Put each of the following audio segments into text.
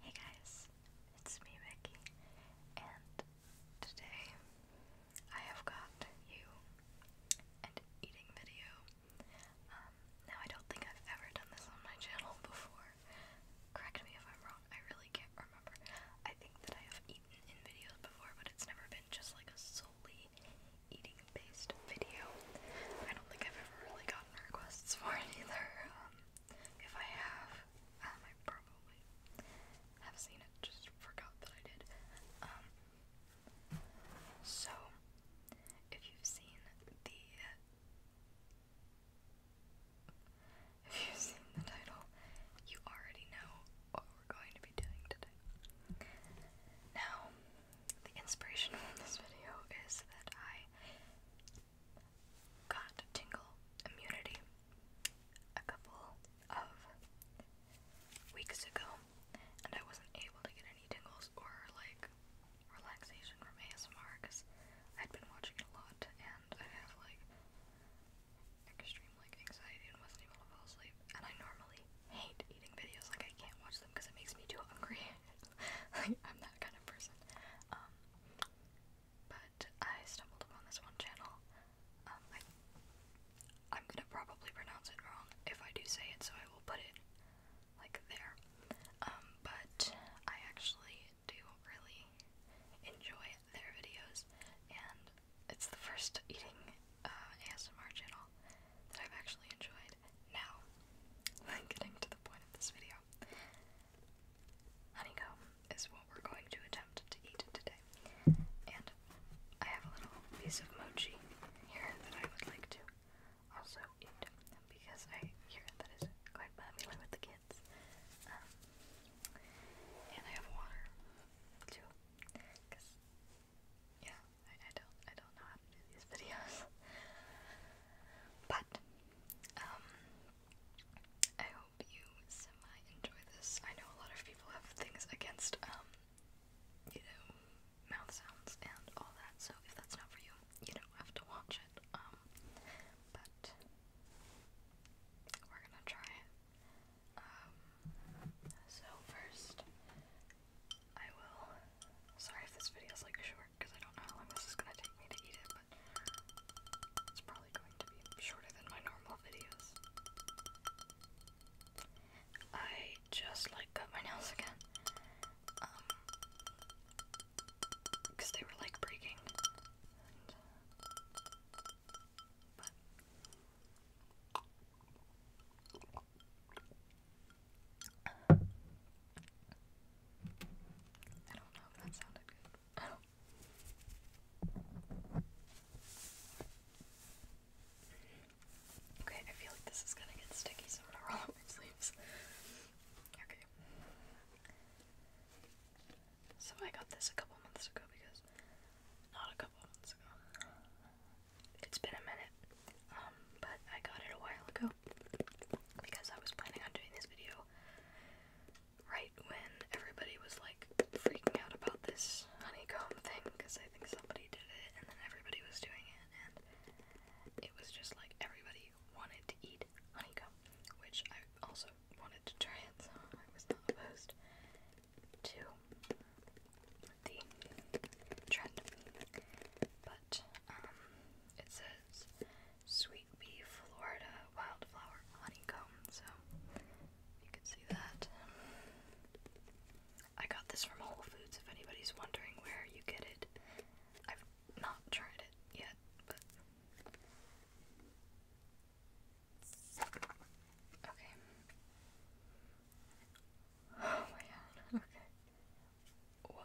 Hey guys, it's me Becky, and today I have got you an eating video. Um, now I don't think I've ever done this on my channel before. Correct me if I'm wrong, I really can't remember remember. I think that I have eaten in videos before, but it's never been just like a solely eating-based video. I don't think I've ever really gotten requests for it either. Um, if I have, um, I probably have seen it, just forgot that I did. Um, so, if you've seen the if you've seen the title, you already know what we're going to be doing today. Now, the inspiration for this video is that I got tingle immunity a couple of weeks ago, and I wasn't able to get any tingles or like relaxation from ASMR because I'd been watching it a lot and I have like extreme like anxiety and wasn't able to fall asleep. And I normally hate eating videos, like I can't watch them because it makes me too hungry. I'm that kind of person. Um, but I stumbled upon this one channel. Um, I, am gonna probably pronounce it wrong if I do say it, so I will put it like there. Um, but I actually do really enjoy it their videos, and it's the first eating uh, ASMR channel that I've actually enjoyed. Now, getting to the point of this video, honeycomb is what we're going to attempt to eat today, and I have a little piece of mochi here that I would like to also eat because I hear that is quite popular with the kids kids. Um, and I have water too, cause yeah, I, I don't I don't know how to do these videos. but um, I hope you semi enjoy this. I know a lot of people have things against um, you know, mouth sounds and all that. So if that's not for you, you don't have to watch um, but we're gonna try it. Um, so first, I will. Sorry if this video's like short because I don't know how long this is gonna take me to eat it, but it's probably going to be shorter than my normal videos. I just like cut my nails again. Um, because they were like breaking. I don't know if that sounded Okay, I feel like this is gonna get sticky, so I'm gonna roll up my sleeves. Okay. So I got this a couple months ago because not a couple months ago. It's been a minute. Um, but I got it a while ago because I was planning on doing this video right when everybody was like freaking out about this honeycomb thing because I think somebody did it and then everybody was doing it and it was just like everybody wanted to eat honeycomb, which I also wanted to try it, so I was not opposed to the trend. But um, it says sweet bee Florida wildflower honeycomb, so you can see that. I got this from Whole Foods if anybody's wondering where you get it. I've not tried it yet, but. Okay. Oh my god, okay. Whoa.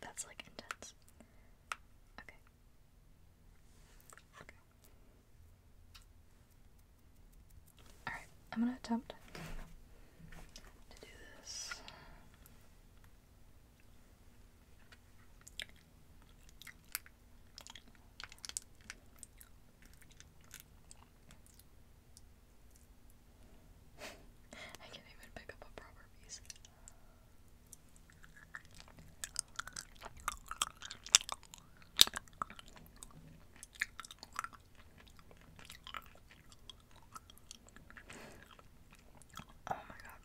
That's like intense. Okay. Okay. Alright, I'm gonna attempt to do this. I can't even pick up a proper piece. Oh my god,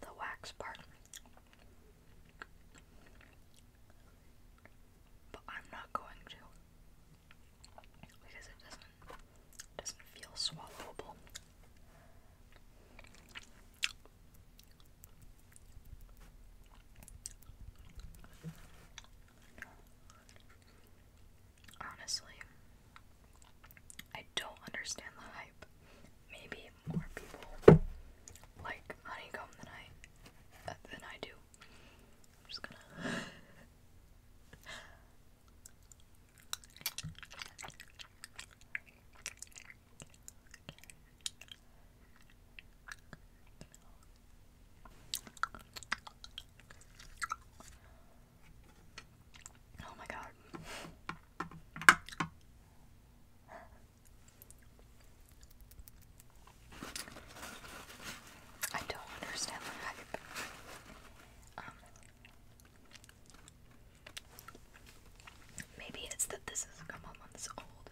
the wax part. But I'm not going to because it doesn't doesn't feel swallowable. Honestly, I don't understand the hype. Maybe more people like honeycomb than I uh, than I do. I'm just gonna. Oh my god. I don't understand the hype. Um, maybe it's that this is a couple months old.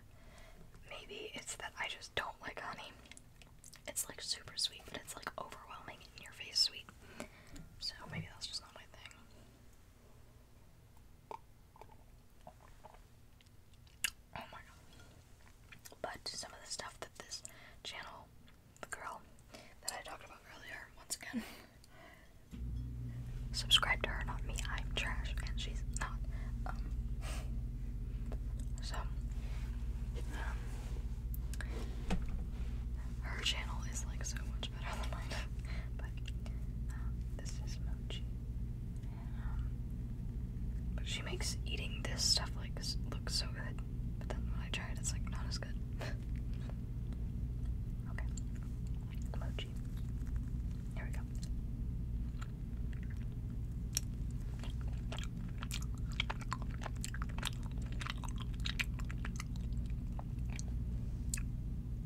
Maybe it's that I just don't like honey. It's like super sweet, but it's like overwhelming in your face sweet. So maybe that's just not my thing. Oh my god. But some of the stuff that this channel, the girl that I talked about earlier, once again, subscribe to her, not me. I'm trash and she's not. Um, so, um, her channel is like so much but um, this is mochi. Um, she makes eating this stuff like look so good, but then when I try it, it's like not as good. okay, mochi. Here we go.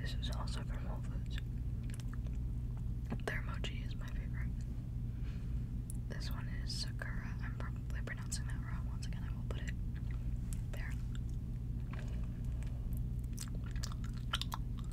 This is also from Whole Foods. Their is my favorite. This one is Sakura. I'm probably pronouncing that wrong. Once again, I will put it there.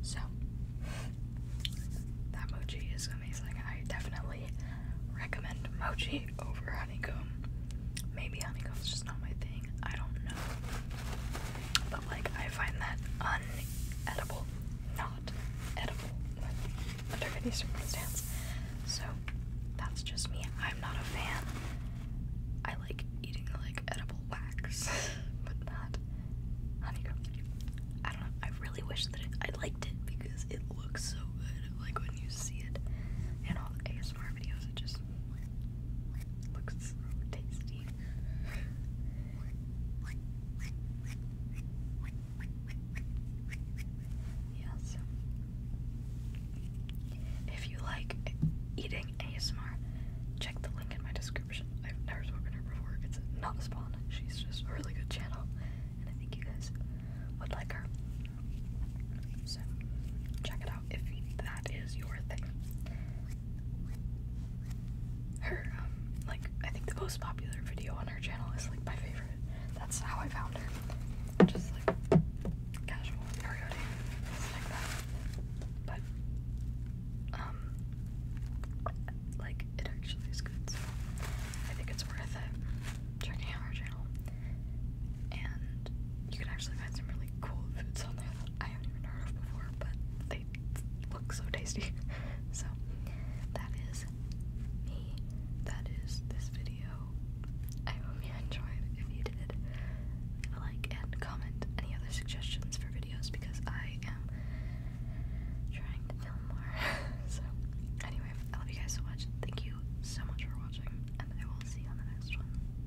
So, that mochi is amazing. I definitely recommend mochi over honeycomb. Maybe honeycomb is just not my thing. I don't know. But like I find that unedible, not edible under any circumstance. So that's just me. I'm not a fan. I like eating like edible wax, but not honeycomb. I don't I really wish that I liked it because it looks so good. Like when you see it in all the ASMR if you like eating ASMR, check the link in my description. I've never spoken to her before. It's not a spawn. She's just a really good channel, and I think you guys would like her. So, check it out if that is your thing. Her, um, like, I think the most popular video on her channel is like my favorite. That's how I found her. Just like casual periodic, like that. But, um, like, it actually is good, I think it's worth checking out her channel. And you can actually find some cool foods on there that I haven't even heard of before, but they look so tasty. so that is me. That is this video. I hope you enjoyed. If you did, like and comment any other suggestions for videos because I am trying to film more. so anyway, I love you guys so much. Thank you so much for watching, and I will see you on the next one.